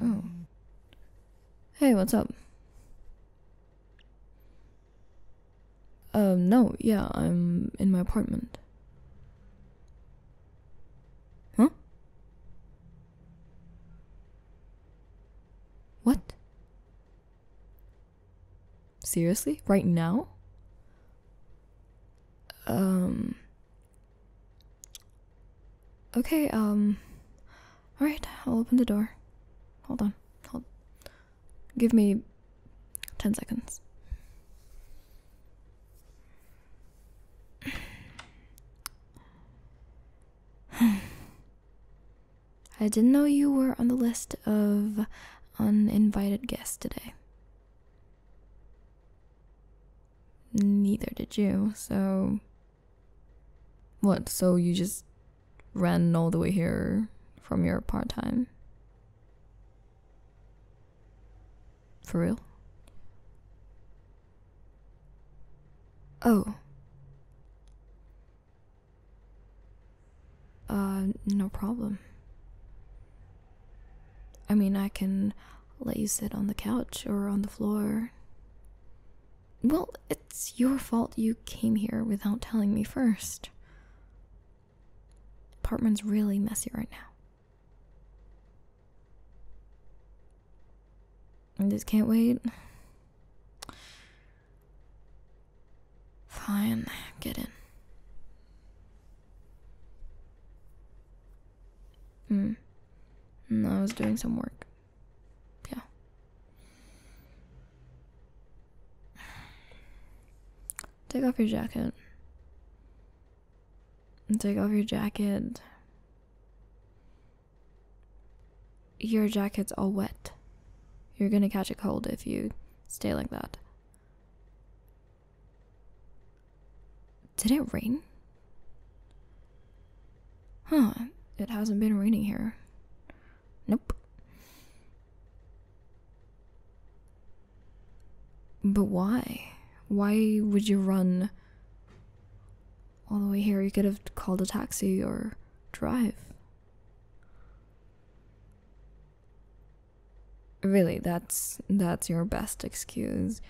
Oh. Hey, what's up? Um, no, yeah, I'm in my apartment. Huh? What? Seriously? Right now? Um. Okay, um. Alright, I'll open the door. Hold on. Hold. Give me 10 seconds. I didn't know you were on the list of uninvited guests today. Neither did you, so. What, so you just ran all the way here from your part time? For real? Oh. Uh, no problem. I mean, I can let you sit on the couch or on the floor. Well, it's your fault you came here without telling me first. Apartment's really messy right now. I just can't wait. Fine, get in. Hmm. I was doing some work. Yeah. Take off your jacket. Take off your jacket. Your jacket's all wet. You're gonna catch a cold if you stay like that. Did it rain? Huh, it hasn't been raining here. Nope. But why? Why would you run all the way here? You could have called a taxi or drive. Really, that's that's your best excuse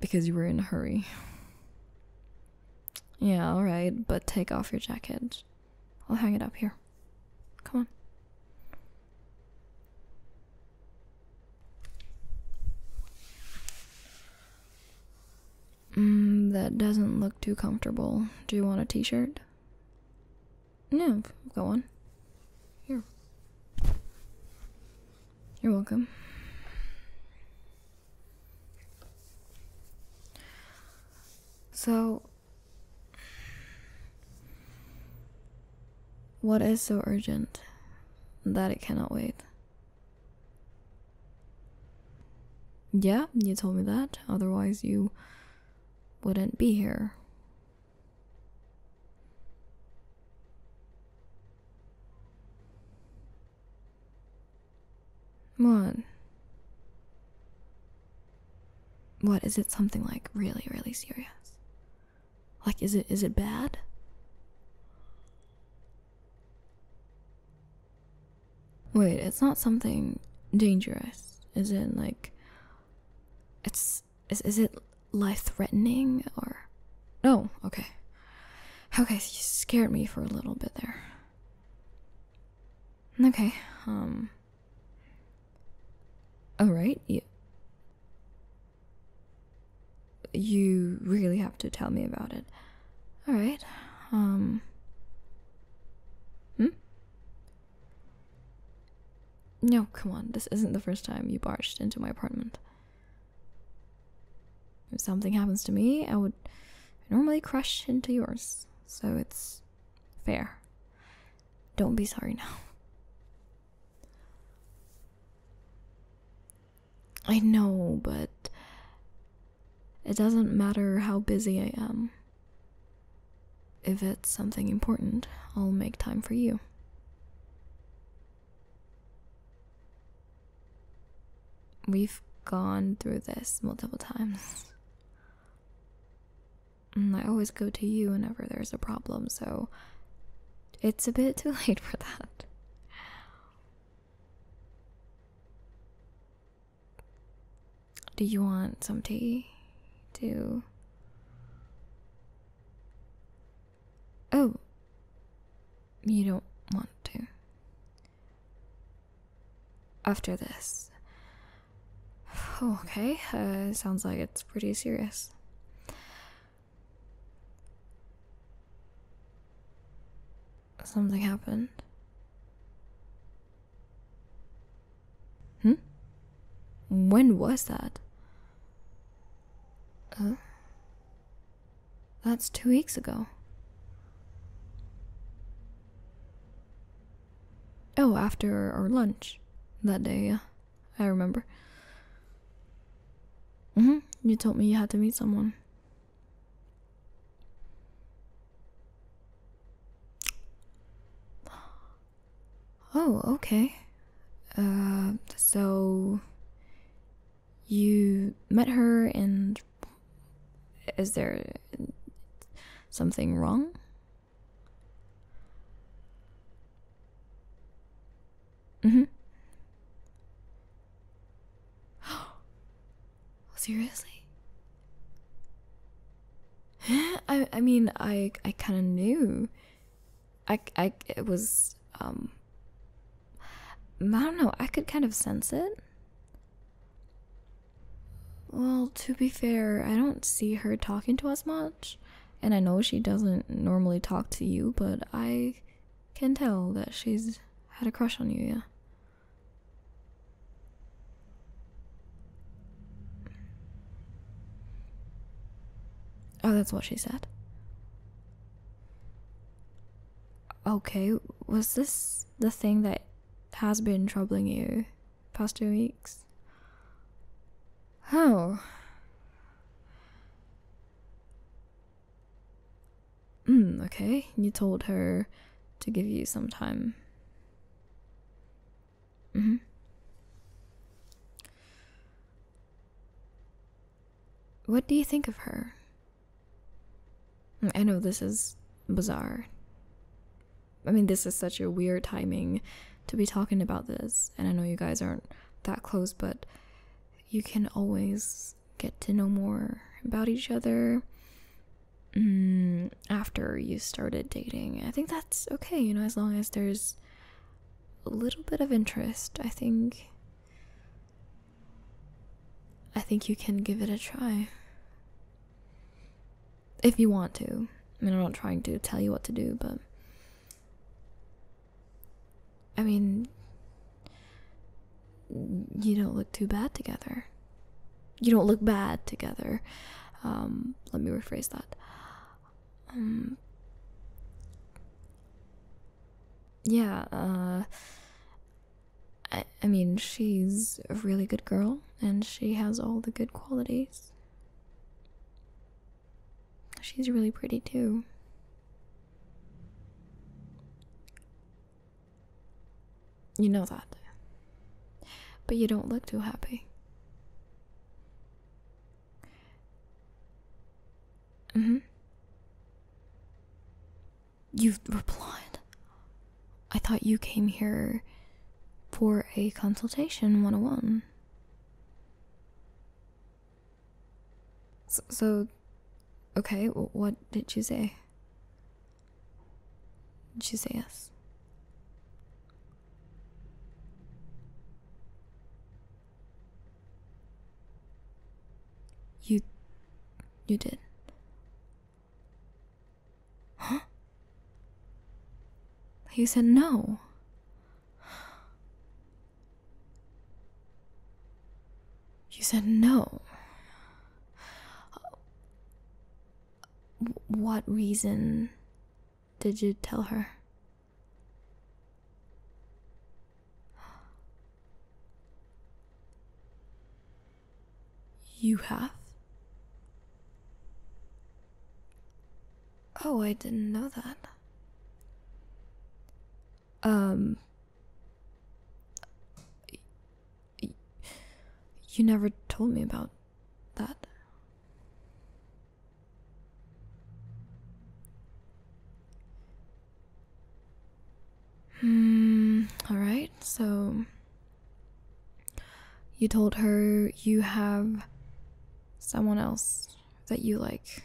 because you were in a hurry. Yeah, all right, but take off your jacket. I'll hang it up here. Come on. Mm, that doesn't look too comfortable. Do you want a t-shirt? No, go on. Here. You're welcome. So, what is so urgent that it cannot wait? Yeah, you told me that. Otherwise, you wouldn't be here. What? What is it something like really really serious? Like is it is it bad? Wait, it's not something dangerous, is it? Like, it's is is it life-threatening or? No, oh, okay, okay. You scared me for a little bit there. Okay, um. All right, you. You really have to tell me about it. All right, um. Hmm. No, come on, this isn't the first time you barged into my apartment. If something happens to me, I would normally crash into yours, so it's fair. Don't be sorry now. I know, but it doesn't matter how busy I am. If it's something important, I'll make time for you. We've gone through this multiple times. Mm, I always go to you whenever there's a problem, so it's a bit too late for that. Do you want some tea? To. Oh! You don't want to. After this. Oh, okay, uh, sounds like it's pretty serious. Something happened. Hmm? When was that? Uh, that's two weeks ago. Oh, after our lunch that day, yeah. I remember. hmm. You told me you had to meet someone. Oh, okay. Uh, so you met her and is there something wrong? Mm-hmm. Seriously? Eh, I I mean I I kind of knew. I I it was um. I don't know. I could kind of sense it. Well, to be fair, I don't see her talking to us much, and I know she doesn't normally talk to you, but I can tell that she's had a crush on you, yeah. Oh, that's what she said. Okay, was this the thing that has been troubling you past two weeks? Oh. Mm, okay, you told her to give you some time. Mm -hmm. What do you think of her? I know this is bizarre. I mean, this is such a weird timing to be talking about this, and I know you guys aren't that close, but you can always get to know more about each other mm, after you started dating. I think that's okay, you know, as long as there's a little bit of interest. I think I think you can give it a try. If you want to. I mean, I'm not trying to tell you what to do, but I mean, you don't look too bad together. You don't look bad together. Um, let me rephrase that. Um, yeah, uh, I, I mean, she's a really good girl and she has all the good qualities. She's really pretty too. You know that. But you don't look too happy. hmm. You replied. I thought you came here for a consultation 101. So, so okay, what did you say? Did she say yes. You you did. Huh? You said no. You said no. What reason did you tell her? You have? Oh, I didn't know that. Um you never told me about that. Hmm, alright, so you told her you have someone else that you like.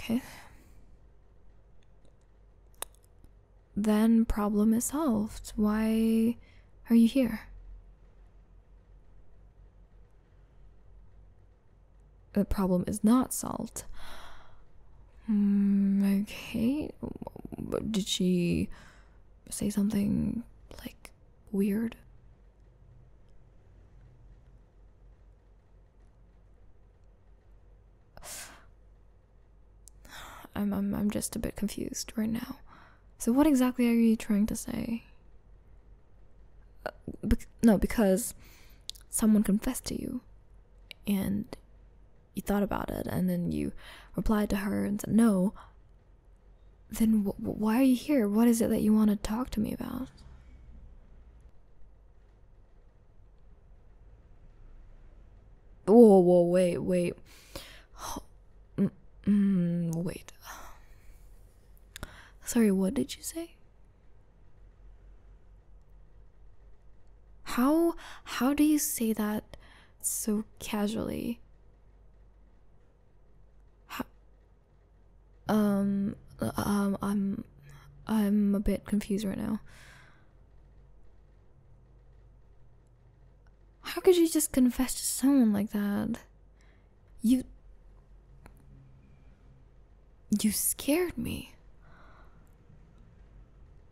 Okay. Then problem is solved. Why are you here? The problem is not solved. Hmm, okay, but Did she say something like weird? I'm, I'm I'm just a bit confused right now. So what exactly are you trying to say? Uh, no, because someone confessed to you, and you thought about it, and then you replied to her and said no. Then why are you here? What is it that you want to talk to me about? Whoa, whoa, wait, wait. Mm, mm, wait. Sorry, what did you say? How how do you say that so casually? How um, um, I'm, I'm a bit confused right now. How could you just confess to someone like that? You. You scared me.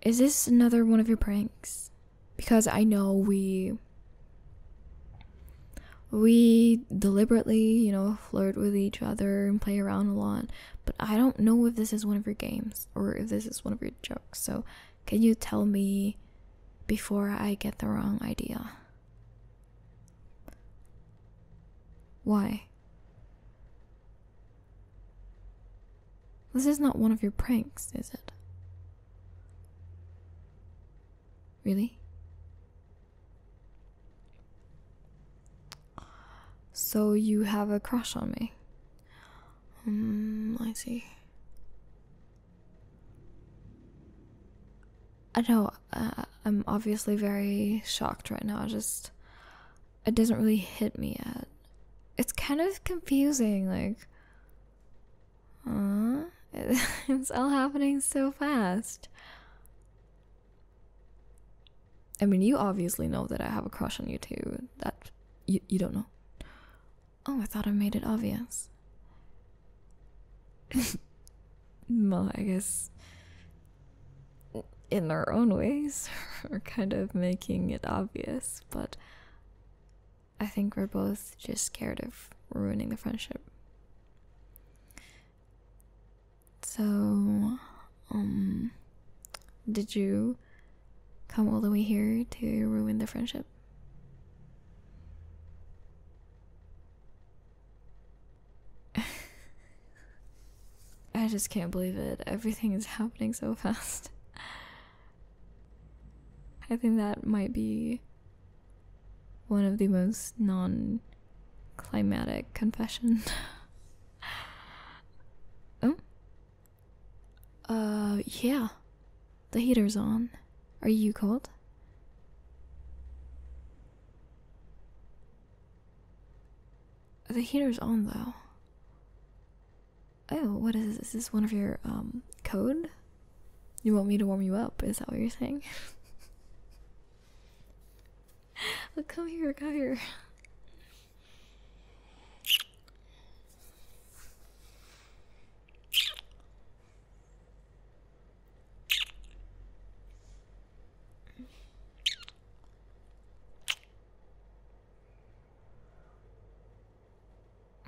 Is this another one of your pranks? Because I know we. We deliberately, you know, flirt with each other and play around a lot but I don't know if this is one of your games or if this is one of your jokes. So, can you tell me before I get the wrong idea? Why? This is not one of your pranks, is it? Really? So you have a crush on me? Hmm, I see. I know, uh, I'm obviously very shocked right now. I just. It doesn't really hit me yet. It's kind of confusing, like. Uh, it's all happening so fast. I mean, you obviously know that I have a crush on you too. That you you don't know. Oh, I thought I made it obvious. well, I guess in our own ways we are kind of making it obvious, but I think we're both just scared of ruining the friendship. So, um, did you come all the way here to ruin the friendship? I just can't believe it. Everything is happening so fast. I think that might be one of the most non climatic confession. oh. Uh, yeah. The heater's on. Are you cold? The heater's on though. Oh, what is this? Is this one of your um code? You want me to warm you up? Is that what you're saying? oh, come here, come here.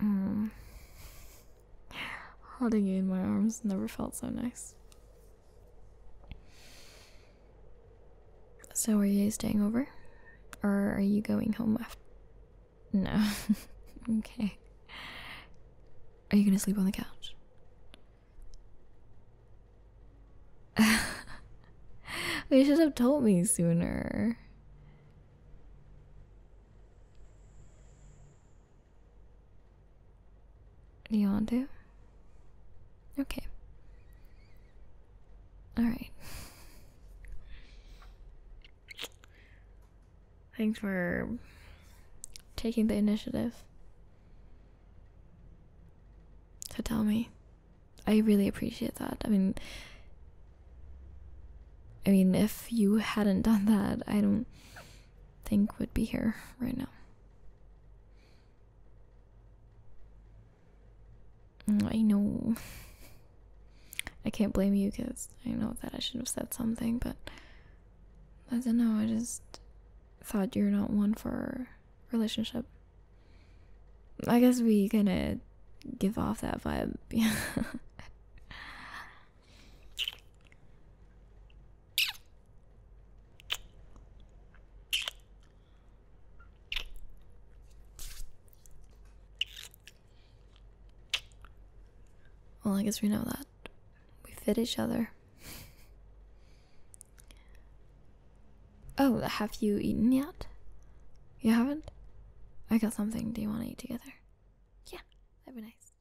Mm. Holding you in my arms never felt so nice. So, are you staying over? Or are you going home after? No. okay. Are you gonna sleep on the couch? you should have told me sooner. Do you want to? Okay. Alright. Thanks for taking the initiative. So tell me. I really appreciate that. I mean I mean if you hadn't done that, I don't think would be here right now. Mm, I know. I can't blame you because I know that I should have said something, but I don't know. I just thought you're not one for relationship. I guess we kind of give off that vibe. Well, I guess we know that. We fit each other. oh, have you eaten yet? You haven't? I got something. Do you want to eat together? Yeah, that'd be nice.